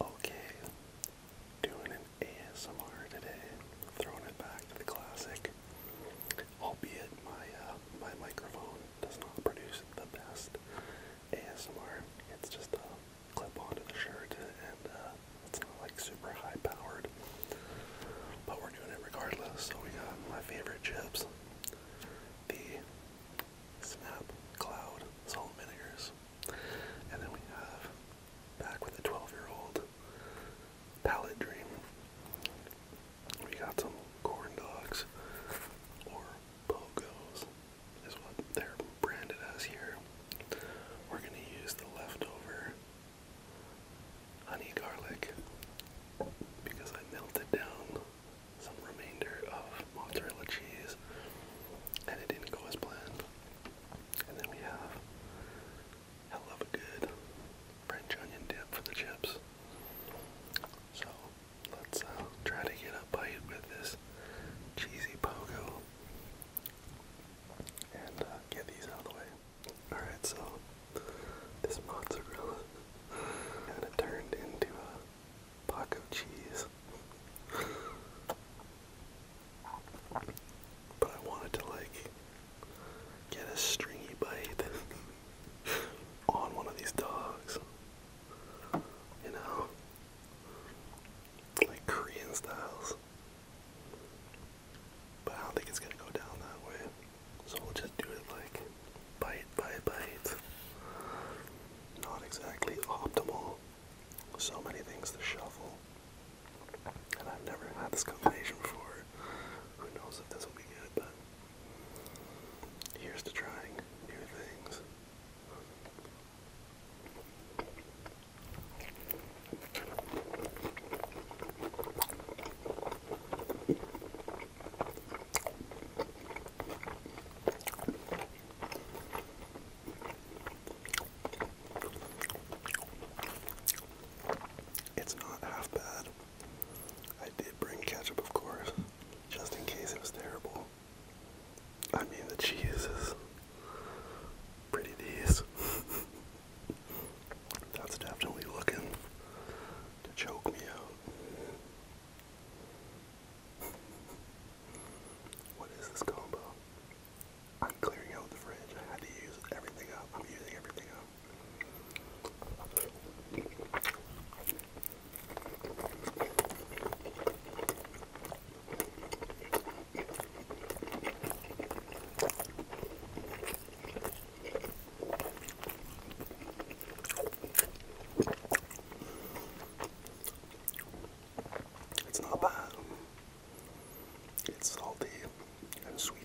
Okay, doing an ASMR today, throwing it back to the classic, albeit my uh, my microphone does not produce the best ASMR. It's just a clip onto the shirt, and uh, it's not like super high powered, but we're doing it regardless. So we got my favorite chips, the Snap Cloud Salt Vinegars. And then we have back with the 12 year old palette dream. We got some corn dogs or pogos is what they're branded as here. We're gonna use the leftover honey garlic because I melted down some remainder of mozzarella cheese, and it didn't go as planned. And then we have hell of a good French onion dip for the chips. So let's uh, try to get a bite with this cheesy pogo and uh, get these out of the way. Alright, so this mozzarella kind of turned into a Paco cheese. but I wanted to like get a stringy bite on one of these dogs. You know? Like Korean styles. But I don't think it's gonna go down that way. So we'll just do it like bite by bite. Not exactly optimal. So many things to shuffle. And I've never had this combination before. Who knows if this will be good, but here's to trying new things. It's not half bad. I did bring ketchup, of course, just in case it was terrible. I mean, the cheese is pretty decent. That's definitely looking to choke me out. What is this combo? I'm clearing out the fridge. I had to use everything up. I'm using everything up. It's not bad. It's salty and sweet.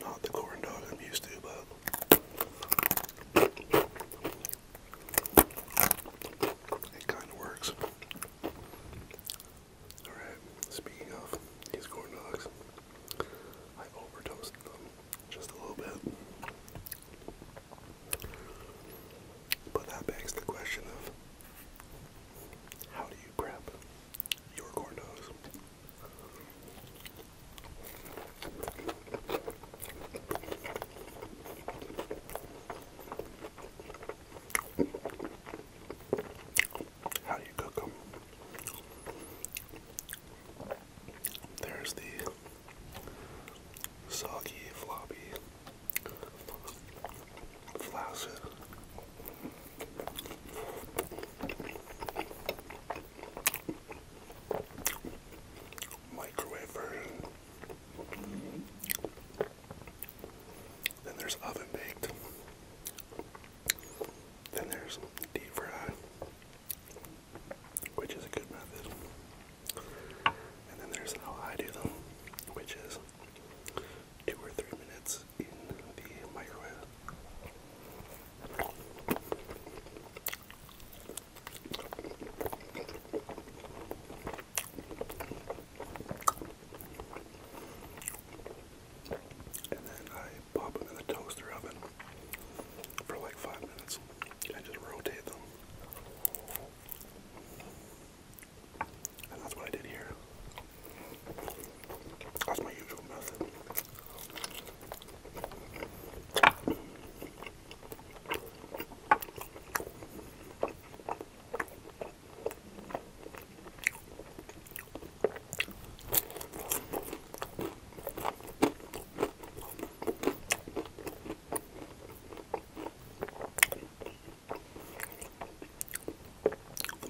Not the corn dog I'm used to, but it kind of works. Alright, speaking of these corn dogs, I overdosed them just a little bit. But that begs the question of how do you prep your corndos? How do you cook them? There's the soggy, floppy Flaccid. Microwave version. Then there's oven baked. Then there's deep fry, which is a good method. And then there's how I do them, which is two or three minutes in the microwave. And then I pop them in the toaster oven for like five minutes and just rotate them. And that's what I did here. That's my usual method. The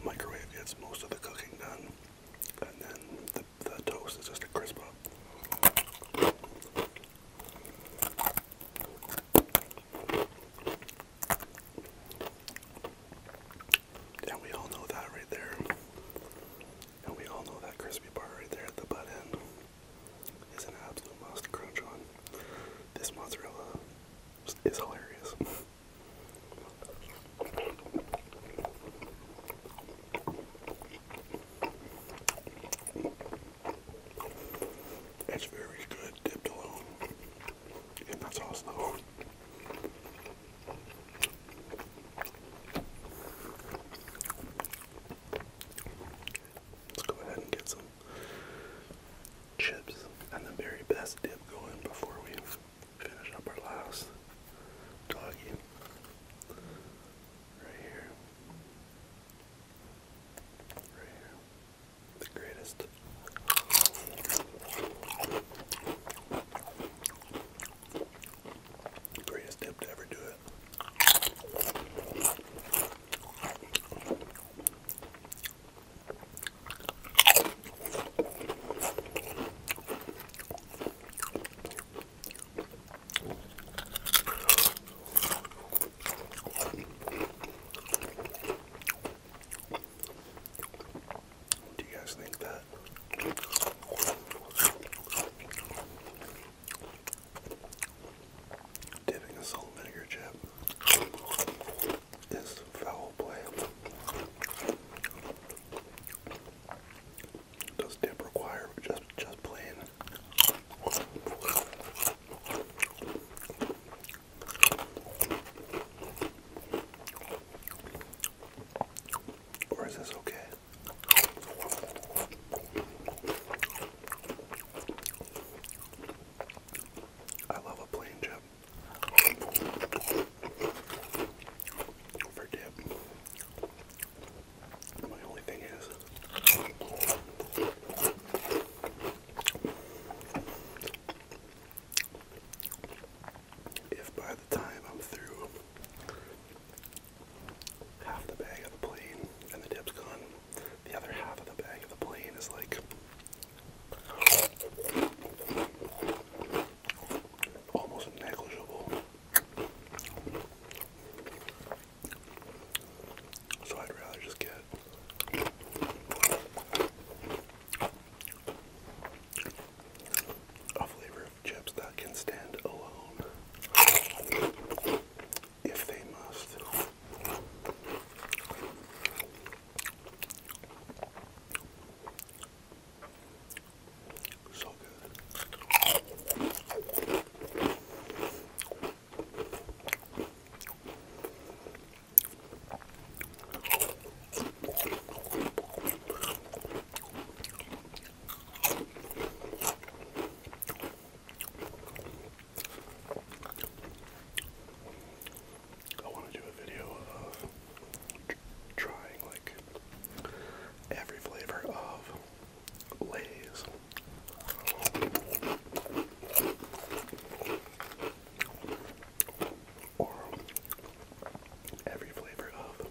microwave gets most of the cooking done, and then the, the toast is just a crisp up. And we all know that right there. And we all know that crispy part right there at the butt end is an absolute must crunch on. This mozzarella is hilarious. It's very good dipped alone in that sauce though. Let's go ahead and get some chips and the very best dip going before we finish up our last doggy. Right here. Right here. The greatest. Greatest dip to ever do it. Do you guys think that Dipping a salt vinegar chip is foul play. Does dip require just just plain? Or is this okay? I love a plain chip. For dip. My only thing is if by the time I'm through half the bag of the plane and the dip's gone, the other half of the bag of the plane is like almost negligible. So I'd rather just get a flavor of chips that can stand alone if they must. So good. I want to do a video of trying like every flavor of Lay's or every flavor of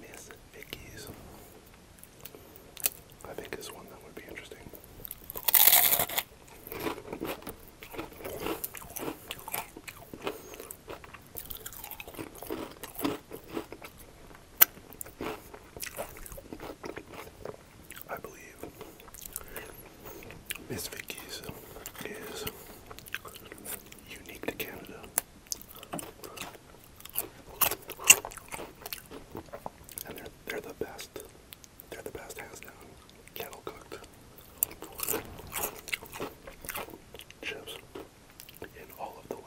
Miss Vicky's. I think is one that would be interesting. I believe Miss Vicky's is unique to Canada. And they're they're the best. They're the best hands down. Kettle cooked chips in all of the land.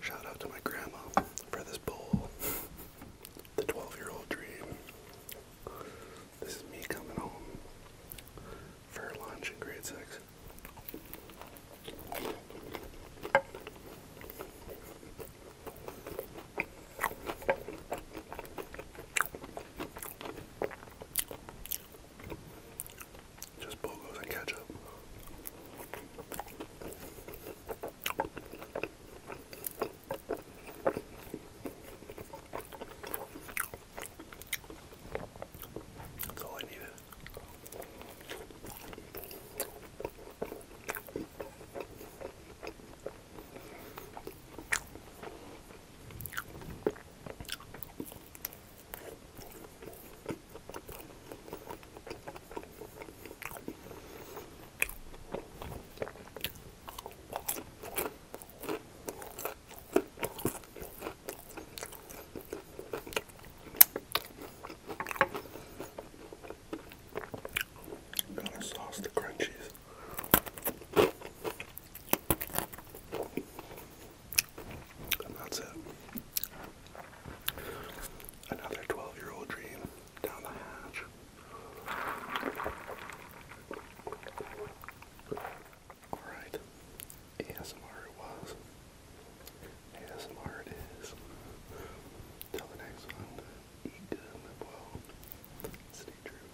Shout out to my grandma for this bowl. The 12 year old dream. This is me coming home for lunch in grade 6. Just bogos and ketchup. That's all I needed. Gotta sauce the crunchies. And that's it. Another 12 year old dream down the hatch. Alright, ASMR it was. ASMR it is. Till the next one, eat good, live well, stay true.